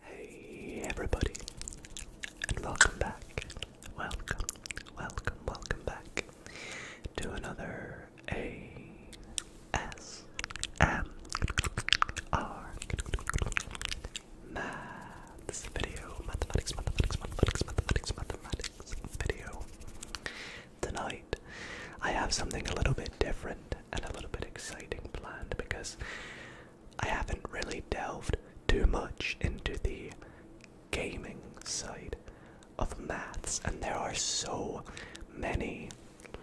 Hey everybody, and welcome back, welcome, welcome, welcome back to another ASMR Maths video, mathematics, mathematics, mathematics, mathematics, mathematics video. Tonight, I have something a little bit different and a little bit exciting planned because I haven't really delved too much into the gaming side of maths, and there are so many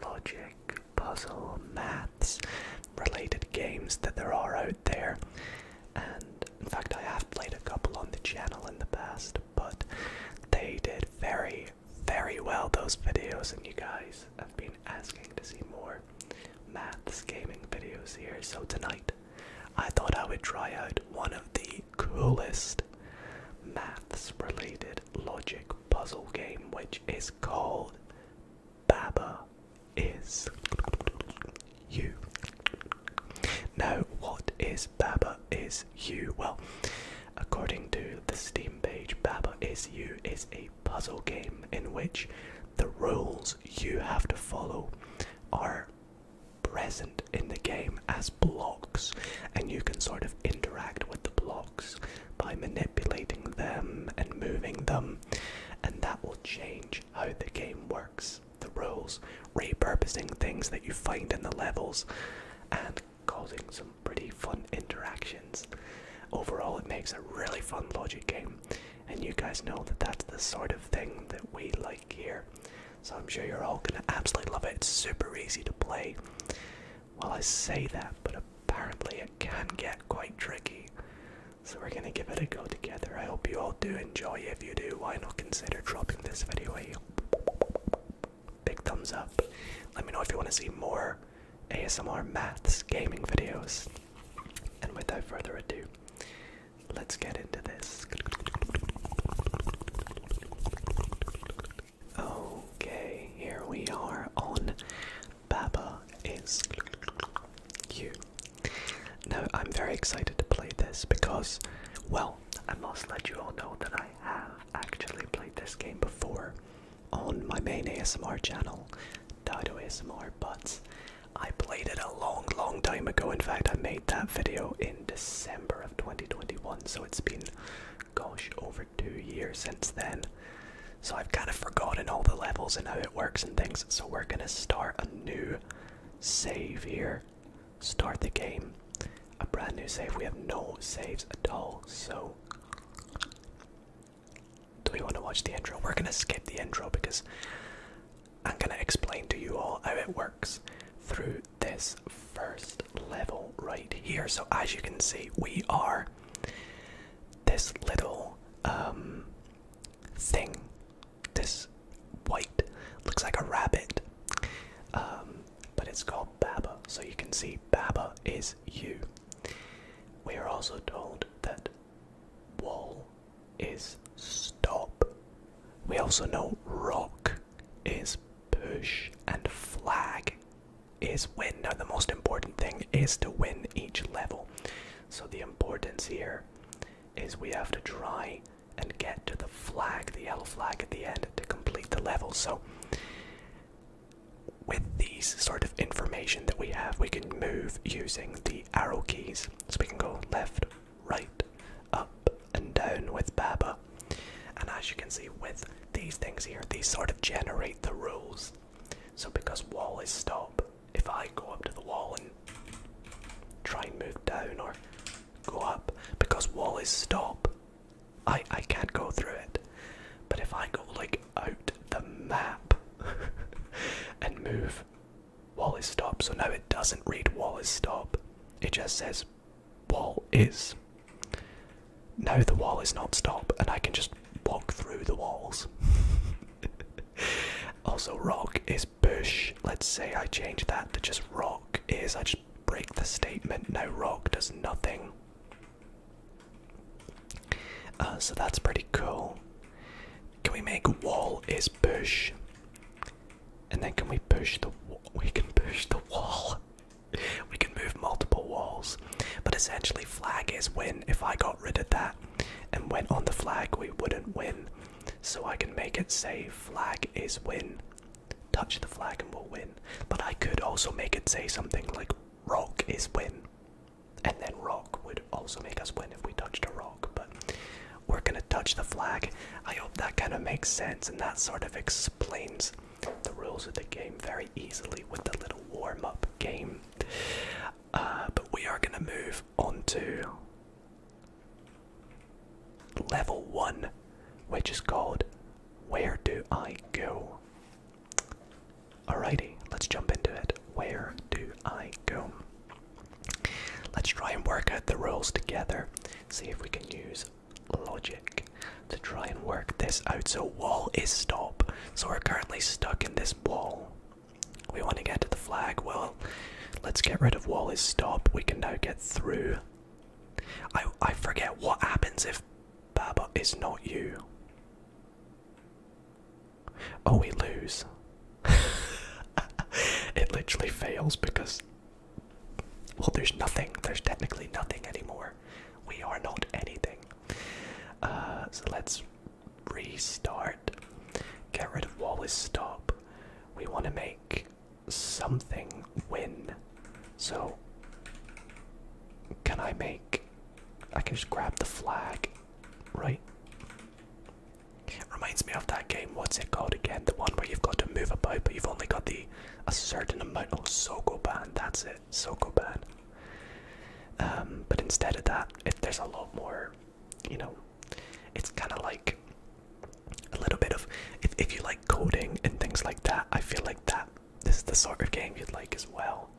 logic, puzzle, maths related games that there are out there. And in fact, I have played a couple on the channel in the past, but they did very, very well, those videos, and you guys have been asking to see more maths gaming videos here. So tonight, I thought I would try out one of the coolest maths related logic puzzle game which is called Baba is you. Now, what is Baba is you? Well, according to the Steam page, Baba is you is a puzzle game in which the rules you have to follow are present in the game as blocks, and you can sort of interact with the blocks by manipulating them and moving them, and that will change how the game works. The rules, repurposing things that you find in the levels, and causing some pretty fun interactions. Overall, it makes a really fun logic game and you guys know that that's the sort of thing that we like here. So I'm sure you're all gonna absolutely love it. It's super easy to play. Well, I say that, but apparently it can get quite tricky. So we're gonna give it a go together. I hope you all do enjoy. If you do, why not consider dropping this video a big thumbs up? Let me know if you want to see more ASMR maths gaming videos. And without further ado, let's get into this. Okay, here we are on Baba is You. Now, I'm very excited to play this because, well, I must let you all know that I have actually played this game before on my main ASMR channel, Dido ASMR, but I played it a long, long time ago. In fact, I made that video in December of 2021, so it's been, gosh, over two years since then. So I've kind of forgotten all the levels and how it works and things. So we're gonna start a new save here. Start the game. A brand new save. We have no saves at all, so do we want to watch the intro? We're going to skip the intro because I'm going to explain to you all how it works through this first level right here. So, as you can see, we are this little um, thing, this white, looks like a rabbit, um, but it's called Baba. So, you can see Baba is you. We are also told that Wall is stop. We also know rock is push and flag is win. Now, the most important thing is to win each level. So, the importance here is we have to try and get to the flag, the yellow flag at the end, to complete the level. So, with these sort of information that we have, we can move using the arrow keys so we can go left, right, up, and down with Baba. And as you can see with these things here, these sort of generate the rules. So because wall is stop, if I go up to the wall and try and move down or go up, because wall is stop, I, I can't go through it. But if I go like out the map and move wall is stop. So no, it doesn't read wall is stop. It just says wall is. No, the wall is not stop, and I can just walk through the walls. also, rock is bush. Let's say I change that to just rock is. I just break the statement. Now rock does nothing. Uh, so that's pretty cool. Can we make wall is push? And then can we push the wall? We can push the wall. we can move multiple walls. But essentially, flag is win. If I got rid of that and went on the flag, we wouldn't win. So I can make it say flag is win. Touch the flag and we'll win. But I could also make it say something like rock is win. And then rock would also make us win if we touched a rock, but we're gonna touch the flag. I hope that kind of makes sense and that sort of explains the rules of the game very easily with the little warm up game. Uh, but we are gonna move on to level one, which is called Where Do I Go? Alrighty, let's jump into it. Where do I go? Let's try and work out the rules together. See if we can use logic to try and work this out. So, wall is stop. So, we're currently stuck in this wall. We want to get to the flag. Well, let's get rid of wall is stop. We can now get through. I, I forget what happens if Baba is not you. Oh, we lose. it literally fails because, well, there's nothing. There's technically nothing anymore. We are not anything. Uh, so let's restart. Get rid of Wallace stop. We want to make something win. So, can I make. I can just grab the flag, right? Reminds me of that game, what's it called again? The one where you've got to move about but you've only got the a certain amount oh Sokoban, that's it, Sokoban. Um, but instead of that, if there's a lot more, you know, it's kinda like a little bit of if if you like coding and things like that, I feel like that this is the sort of game you'd like as well.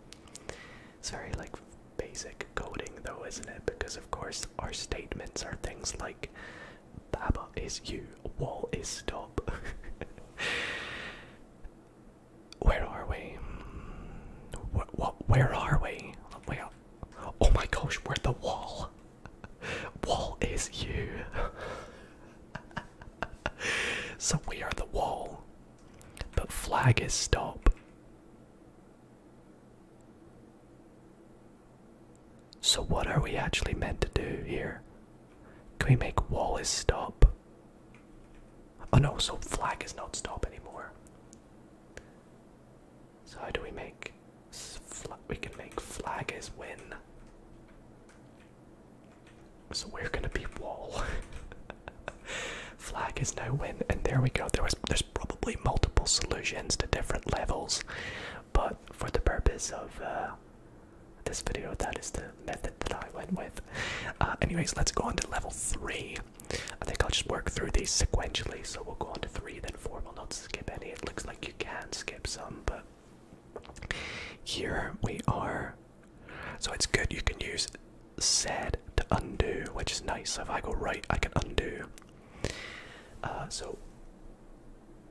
It's very like basic coding though, isn't it? Because of course our statements are things like Baba is you, wall is stop. Where are we? What, where are we? Where, oh my gosh, we're the wall. Wall is you. so we are the wall. But flag is stop. So, what are we actually meant to do here? Can we make Wallis stop? Oh no, so Flag is not stop anymore. So, how do we make. We can make Flag is win. So, we're gonna be Wall. Flag is no win, and there we go. There was there's probably multiple solutions to different levels, but for the purpose of uh, this video, that is the method that I went with. Uh, anyways, let's go on to level three. I think I'll just work through these sequentially. So we'll go on to three, then four. We'll not skip any. It looks like you can skip some, but here we are. So it's good you can use said to undo, which is nice. So if I go right, I can undo. Uh, so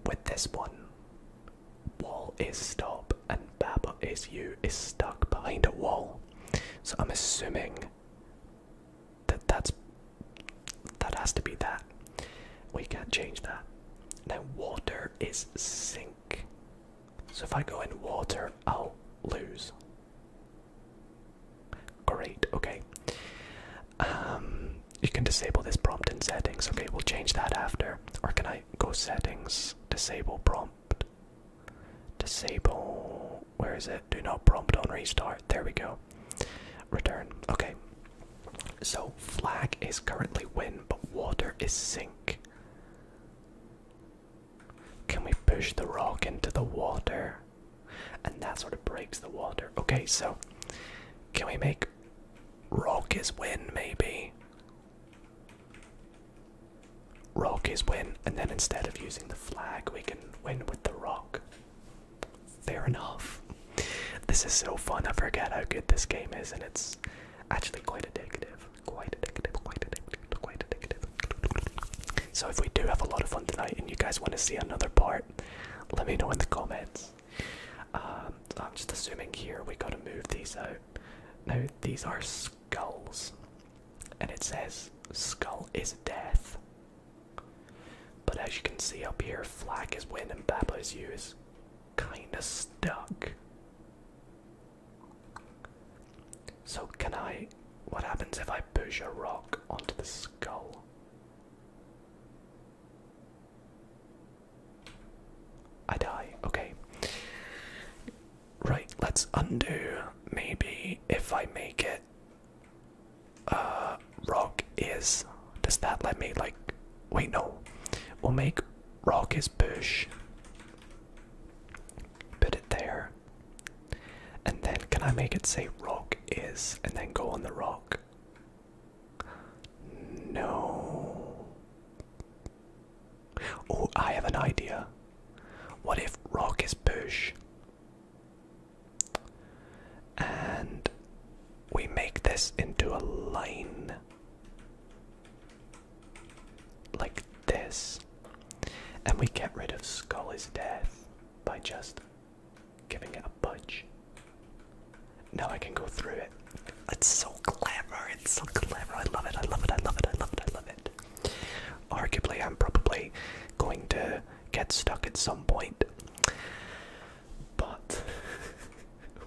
with this one, wall is stop and Baba is you is stuck behind a wall. So I'm assuming that that's that has to be that. We can't change that. Now water is sink. So if I go in water, I'll lose. Great, okay. Um, you can disable this prompt in settings. Okay, we'll change that after. Or can I go settings, disable prompt, disable, where is it? Do not prompt on restart. There we go. Return, okay. So flag is currently win, but water is sink. Can we push the rock into the water? And that sort of breaks the water. Okay, so can we make rock is win maybe? Rock is win, and then instead of using the flag, we can win with the rock. Fair enough. This is so fun. I forget how good this game is, and it's actually quite addictive. Quite addictive, quite addictive, quite addictive. So, if we do have a lot of fun tonight and you guys want to see another part, let me know in the comments. Um, I'm just assuming here we gotta move these out. No, these are skulls, and it says skull is death. But as you can see up here, flag is win and Baba is you kinda stuck. So, can I. What happens if I push a rock onto the skull? I die. Okay. Right, let's undo. Maybe if I make it uh rock is does that let me like wait no. We'll make rock is bush. Put it there. And then can I make it say rock is and then go on the rock? No. Oh, I have an idea. What if rock is push? And we make this into a line like this. And we get rid of Skull Death by just giving it a budge. Now I can go through it. It's so clever, it's so clever. I love it, I love it, I love it, I love it, I love it. Arguably, I'm probably going to get stuck at some point. But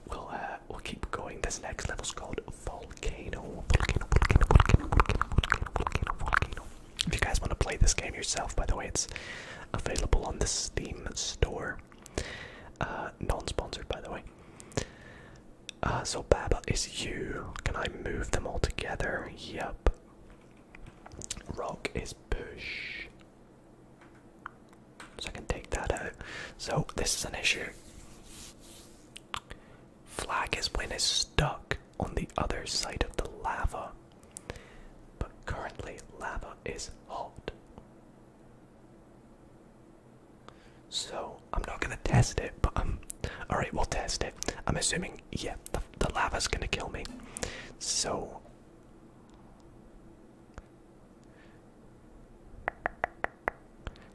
we'll, uh, we'll keep going. This next level's called Volcano. Volcano, volcano, volcano, volcano, volcano, volcano, volcano. If you guys want to play this game yourself, by the way, it's available on the Steam store. Uh, non-sponsored, by the way. Uh, so Baba is you. Can I move them all together? Yep. Rock is push. So I can take that out. So this is an issue. Flag is when it's stuck on the other side of the lava. But currently, lava is hot. So, I'm not gonna test it, but I'm alright, we'll test it. I'm assuming, yeah, the, the lava's gonna kill me. So.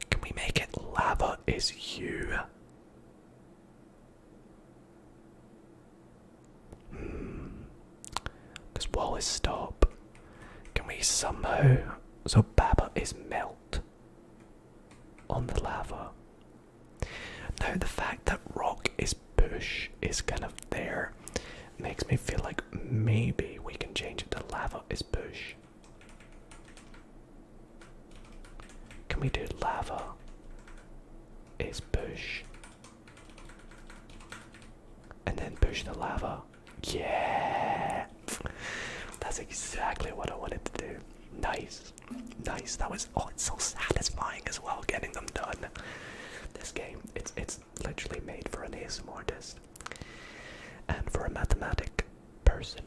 Can we make it lava is you? Hmm. Does Wallace stop? Can we somehow. So Baba is melt on the lava. Now, the fact that rock is bush is kind of there makes me feel like maybe we can change it to lava is bush. Can we do lava is bush? And then push the lava. Yeah! That's exactly what I wanted to do. Nice. Nice. That was oh it's so satisfying as well getting them done. This game, it's it's literally made for an ASMR artist. And for a mathematic person,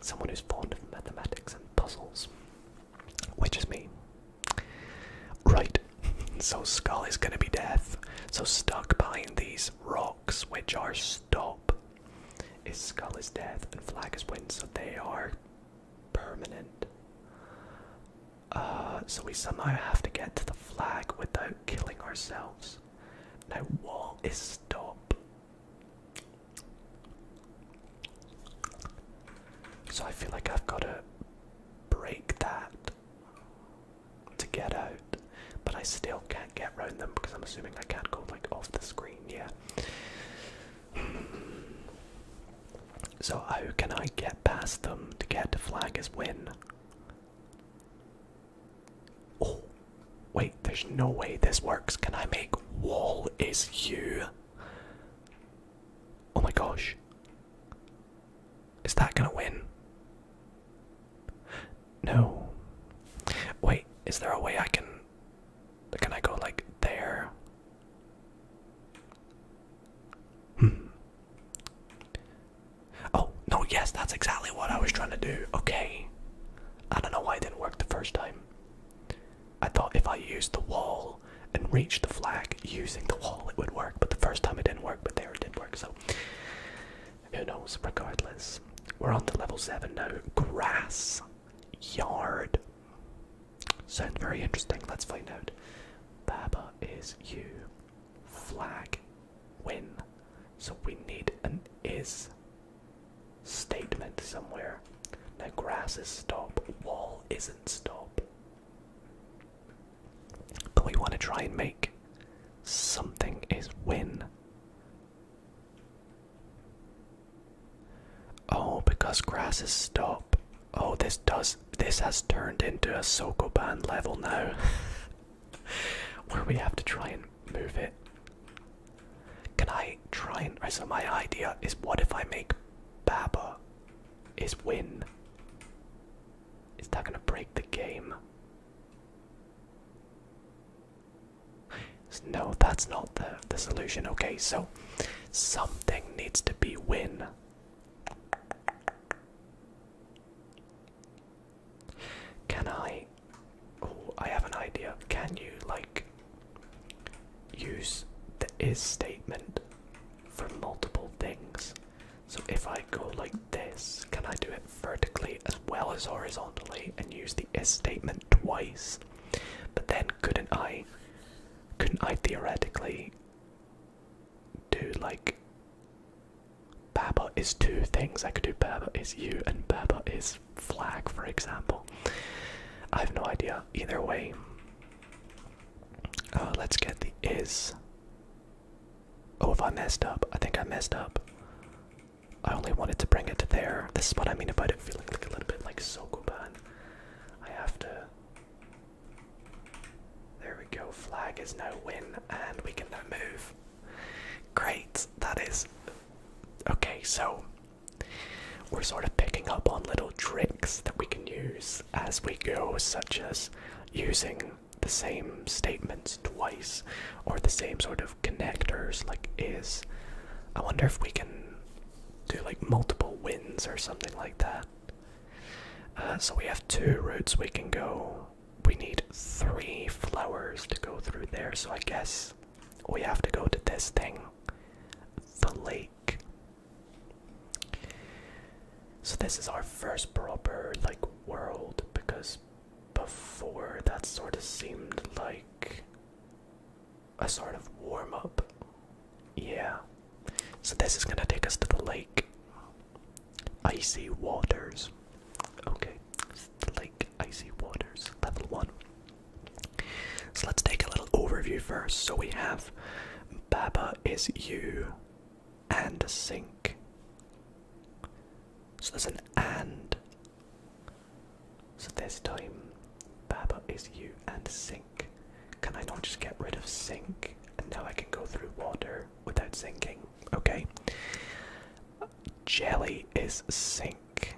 someone who's fond of mathematics and puzzles which is me. Right, so Skull is gonna be death. So stuck behind these rocks, which are stop, is Skull is death and Flag is win, so they are permanent. Uh, so we somehow have to get to the flag without killing ourselves. Now, what is stop. So I feel like I've got a break that to get out, but I still can't get around them because I'm assuming I can't go like off the screen, yet. So how can I get past them to get the flag as win? Oh, wait, there's no way this works. Can I make wall is you? Oh my gosh. Is that gonna win? No. Wait, is there a way I can. Can I go like there? Hmm. Oh, no, yes, that's exactly what I was trying to do. Okay. I don't know why it didn't work the first time. I thought if I used the wall and reach the flag using the wall, it would work. But the first time it didn't work, but there it did work. So who knows? Regardless, we're on to level seven now. Grass yard. Sounds very interesting. Let's find out. Baba is you. Flag win. So we need an is statement somewhere. The grass is stop, wall isn't stop. But we want to try and make something is win. Oh, because grass is stop. Oh, this does this has turned into a band level now. Where we have to try and move it. Can I try and right, so my idea is what if I make Baba is win is that gonna break the game? No, that's not the, the solution. Okay, so something needs to be win. Can I? Oh, I have an idea. Can you, like, use the is statement for multiple things? So if I go like this, can I do it vertically as well as horizontally and use the is statement twice? But then couldn't I couldn't I theoretically do like Baba is two things. I could do Baba is you and Baba is flag, for example. I have no idea. Either way, uh, let's get the is Oh, if I messed up, I think I messed up. I only wanted to bring it to there. This is what I mean about it feeling like a little bit like Sokoban. I have to. There we go. Flag is now win, and we can now move. Great. That is. Okay, so we're sort of picking up on little tricks that we can use as we go, such as using the same statements twice or the same sort of connectors like is. I wonder if we can do like multiple wins or something like that. Uh, so we have two routes we can go. We need three flowers to go through there, so I guess we have to go to this thing the lake. So this is our first proper like world because before that sort of seemed like a sort of warm up. Yeah. So this is gonna take us to the lake. Icy waters. Okay. The lake icy waters level one. So let's take a little overview first. So we have Baba is you and a sink. So there's an and. So this time, Baba is you and sink. Can I not just get rid of sink? And now I can go through water without sinking. Okay. Jelly is sink.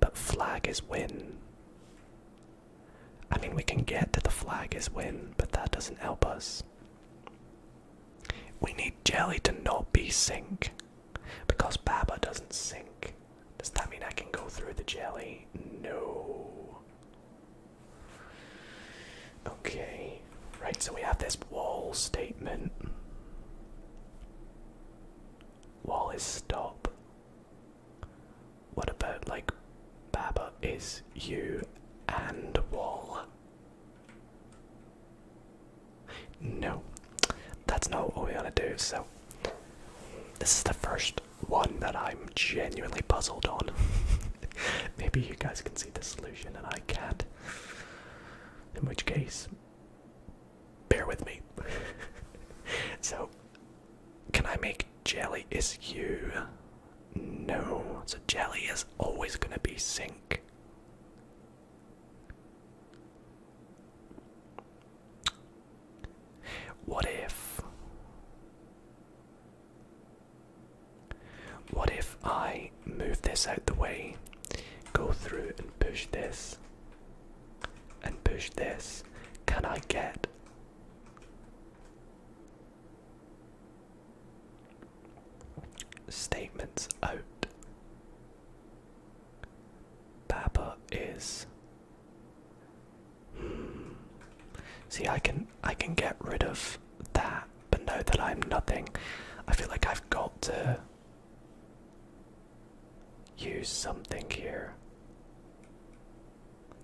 But flag is win. I mean, we can get to the flag is win, but that doesn't help us. We need Jelly to not be sink, because Baba doesn't sink. Does that mean I can go through the Jelly? No. Okay, right, so we have this wall statement. Wall is stop. What about like Baba is you and wall? No, that's not what we want to do. So, this is the first one that I'm genuinely puzzled on. Maybe you guys can see the solution and I can't. In which case, bear with me. so, can I make jelly is you. No, so jelly is always going to be sink. What if. What if I move this out the way, go through and push this, and push this? Can I get. Statements out. Baba is. Hmm, see, I can I can get rid of that, but now that I'm nothing. I feel like I've got to use something here.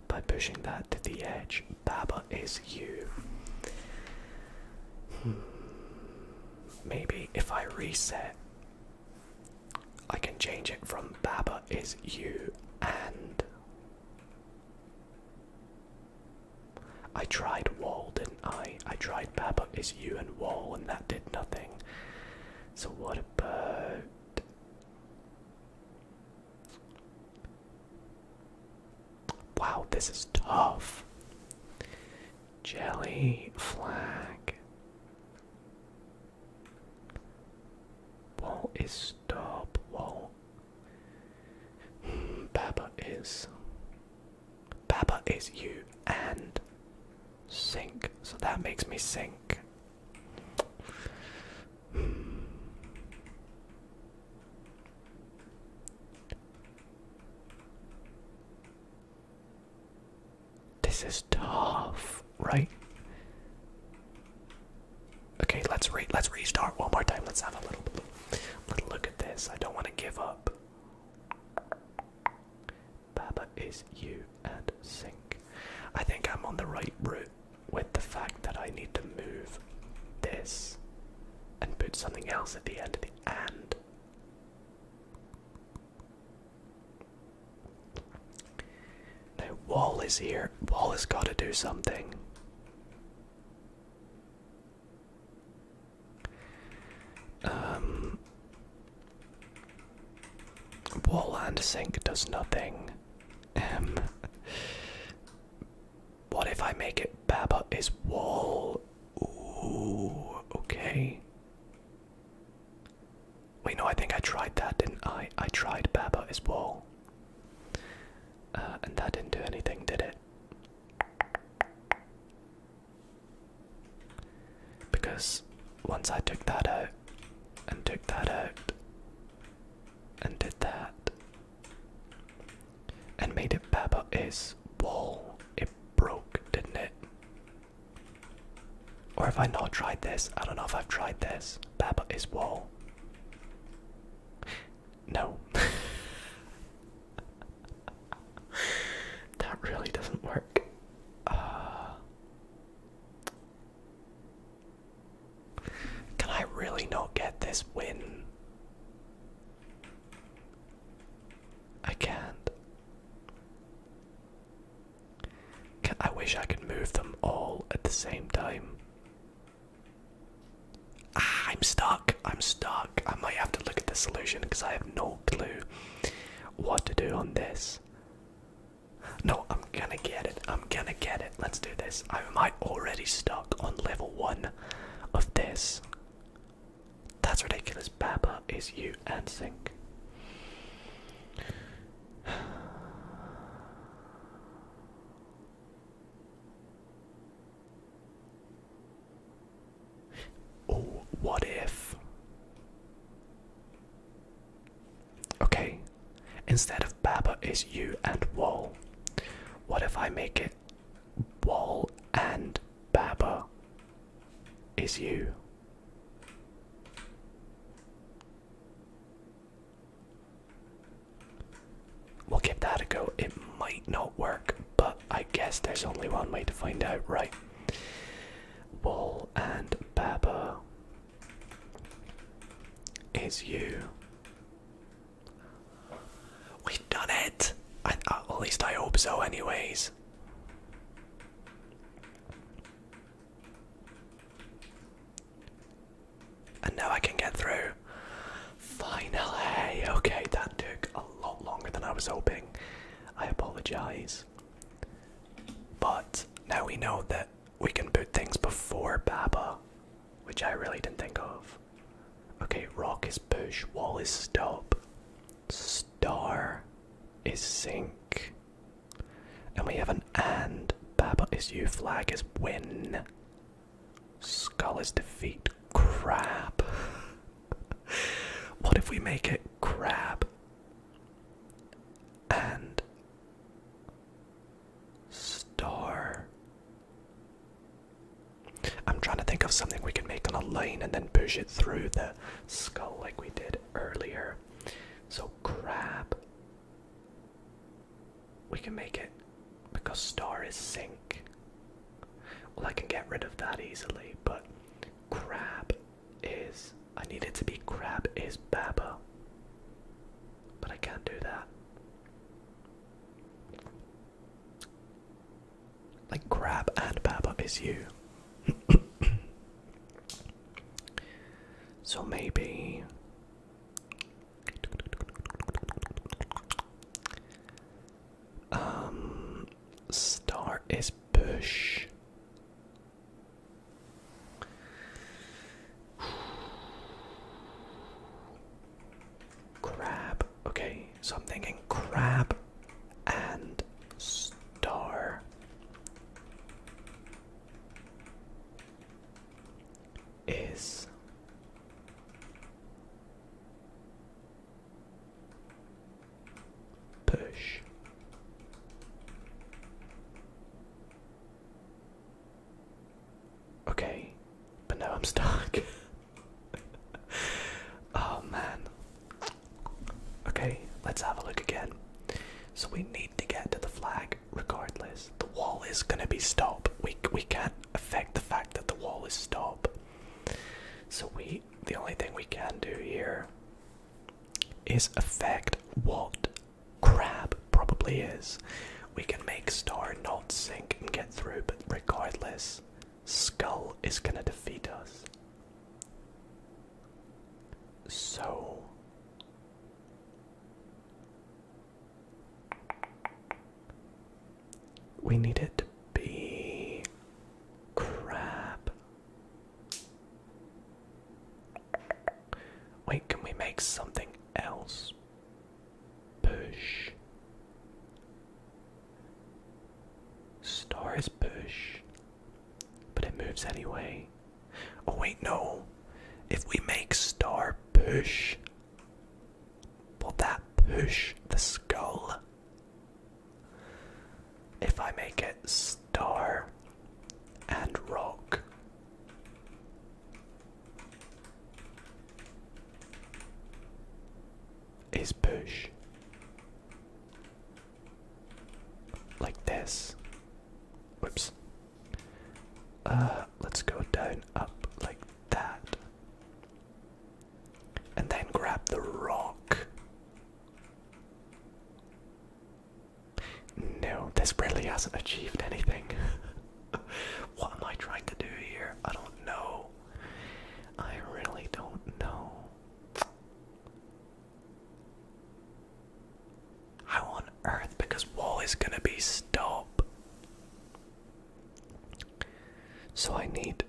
By pushing that to the edge, Baba is you. Hmm. Maybe if I reset, I can change it from Baba is you and. I tried wall, didn't I? I tried Baba is you and wall, and that did nothing. So, what about. Wow, this is tough. Jelly flag. Wall is stop. Wall. Hmm, Baba is. Baba is you and sink. So that makes me sink. Hmm. This is tough, right? Okay, let's re let's restart one more time. Let's have a little, little look at this. I don't want to give up. Baba is you and sink. I think I'm on the right route with the fact that I need to move this and put something else at the end of the end. Now, Wall is here. Wall has got to do something. Um, wall and sink does nothing. Um, what if I make it Baba is wall? Ooh, okay. Wait, no, I think I tried that, didn't I? I tried Baba is wall. Uh, and that didn't do anything, did it? Because once I took that out, and took that out, and did that, and made it Baba is wall. It broke, didn't it? Or have I not tried this? I don't know if I've tried this. Baba is wall. No. that really doesn't work. Uh, can I really not get this win? I can't. I wish I could move them all at the same time. Ah, I'm stuck. I'm stuck. I might have to look at the solution because I have no clue what to do on this. No, I'm gonna get it. I'm gonna get it. Let's do this. I am I already stuck on level one of this? That's ridiculous. Baba is you and Sync. Oh, what if? Okay, instead of Baba is you and Wall? What if I make it Wall and Baba is you? We'll give that a go. It might not work, but I guess there's only one way to find out, right? Wall and Baba is you We've done it! Uh, at least I hope so, anyways. And now I can get through. Final hey. Okay, that took a lot longer than I was hoping. I apologise. But now we know that we can boot things before Baba which I really didn't think of. Okay, rock is push, wall is stop, star is sink, and we have an and. Baba is you, flag is win, skull is defeat, Crap. what if we make it crab and star? I'm trying to think of something we can make on a lane and then push it through the skull like we did earlier. So, crab. We can make it because star is sink. Well, I can get rid of that easily, but crab is. I need it to be crab is baba. But I can't do that. Like crab and Baba is you. so maybe um star is bush Crab. Okay, so I'm thinking crab and star. Is push okay, but now I'm stuck. oh man. Okay, let's have a look again. So we need to get to the flag regardless. The wall is gonna be stop. We we can't affect the fact that the wall is stop. So we the only thing we can do here is affect what crab probably is. We can make Star not sink and get through, but regardless, Skull is gonna defeat us. So. We need it to be crap. Wait, can we make something else? push Star is push but it moves anyway oh wait no if we make star push will that push the skull if i make it star and rock is push like this. Whoops. Uh, let's go down up like that. And then grab the rock. No, this really hasn't achieved anything. what am I trying to do here? I don't know. I really don't know. How on earth? Because wall is gonna be stop. So I need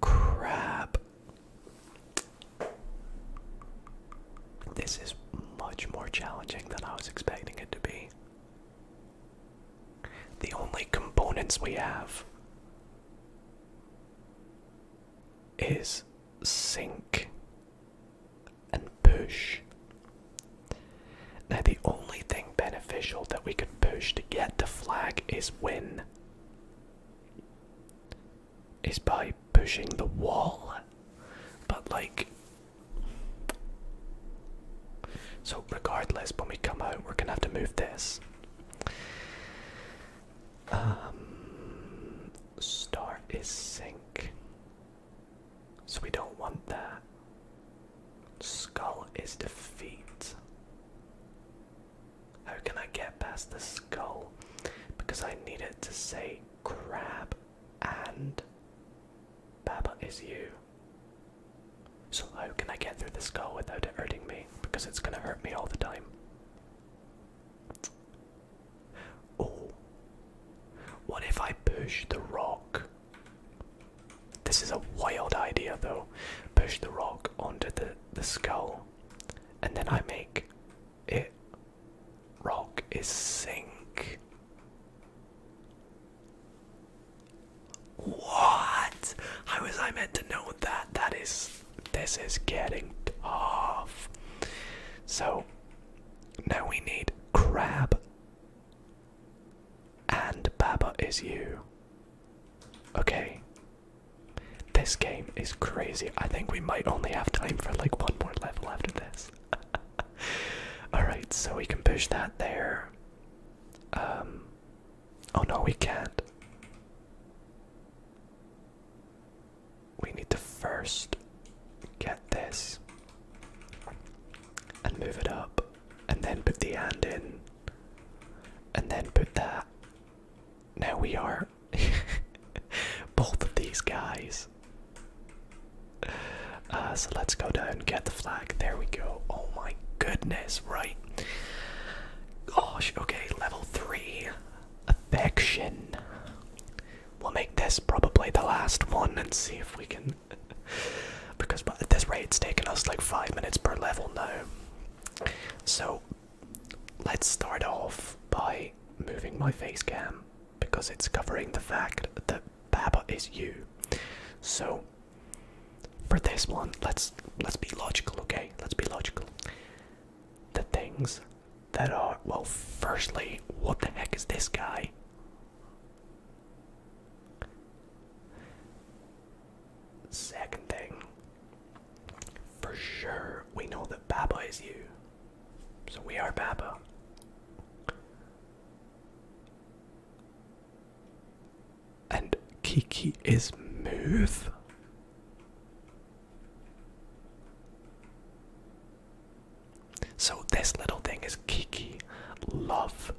crab. This is much more challenging than I was expecting it to be. The only components we have is sink and push. Now, the only thing beneficial that we can push to get the flag is win, is by pushing the wall. But, like, so, regardless, when we come out, we're gonna have to move this. Um, star is sink. So, we don't want that. Skull is defeat. How can I get past the skull? Because I need it to say grab and Baba is you. So how can I get through the skull without it hurting me? Because it's gonna hurt me all the time. Oh. What if I push the rock? This is a wild idea though. Push the rock onto the, the skull and then I make it rock is sink. What? How was I meant to know that? That is. This is getting tough. So, now we need crab. And Baba is you. Okay. This game is crazy. I think we might only have time for like one more level after this. Alright, so we can push that there. Um, oh no, we can't. We need to first get this and move it up, and then put the hand in, and then put that. Now we are. Both of these guys uh, so let's go down and get the flag. There we go. Oh my goodness, right. Gosh, okay, level 3. Affection. We'll make this probably the last one and see if we can. because at this rate, it's taken us like 5 minutes per level now. So let's start off by moving my face cam because it's covering the fact that Baba is you. So for this one, let's let's be logical, okay? Let's be logical. The things that are well firstly, what the heck is this guy? Second thing, for sure we know that Baba is you. So we are Baba. And Kiki is move? So this little thing is Kiki. Love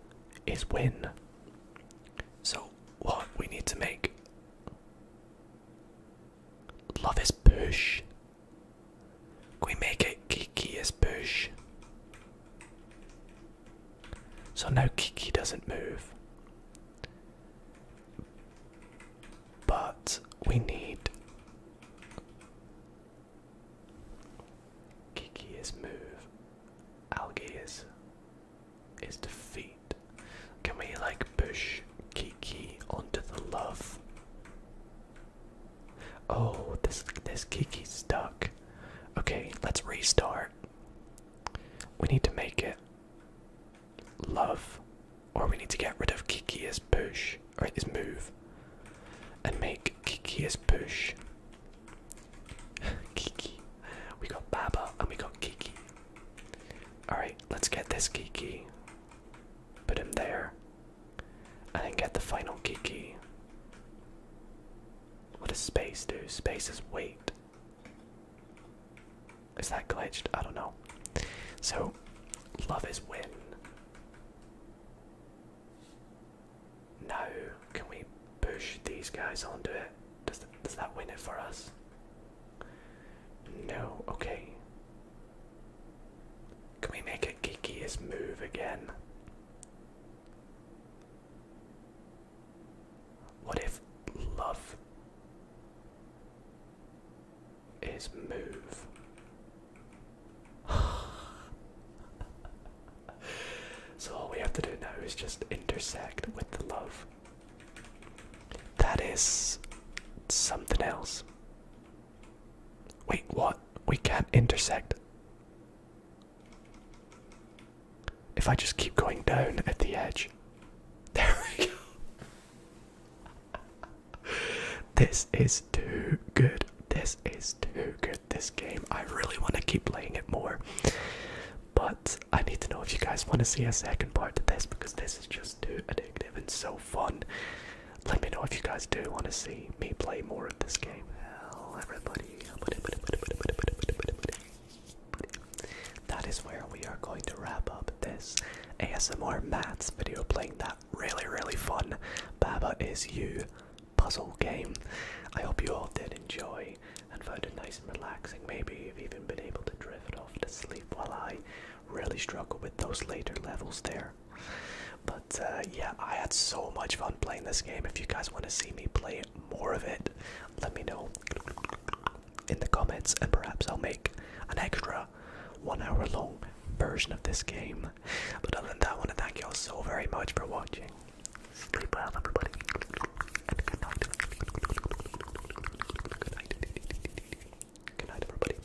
is win. So what we need to make Love is push we make it Kiki is push. So now Kiki doesn't move. But we need Kiki is move. Algae is is defeat. Can we like push Kiki onto the love? Oh, this this Kiki's stuck. Okay, let's restart. We need to make it love, or we need to get rid of Kiki as push or is move, and make Kiki as push. Kiki, we got Baba and we got Kiki. All right, let's get this Kiki. Put him there, and get the final Kiki. What does space do? Space is weight. Is that glitched? I don't know. So, love is win. No. can we push these guys onto it? Does, does that win it for us? No, okay. Can we make it Kiki's move again? What if love is move? so all we have to do now is just intersect with the love. That is something else. Wait, what? We can't intersect. If I just keep going down at the edge. There we go. this is too good. This is too good. This game. I really want to keep playing it more. But I need to know if you guys want to see a second part to this because this is just too addictive and so fun. Let me know if you guys do want to see me play more of this game. Hell, everybody that is where we are going to wrap up this ASMR mats video playing that really, really fun Baba Is You puzzle game. I hope you all did enjoy and found it nice and relaxing. Maybe you've even been able to drift off to sleep while I really struggle with those later levels there. But uh, yeah, I had so much fun playing this game. If you guys want to see me play more of it, let me know in the comments, and perhaps I'll make an extra one hour long version of this game. But other than that, I want to thank you all so very much for watching. Sleep well, everybody. good night. Good Good night, everybody.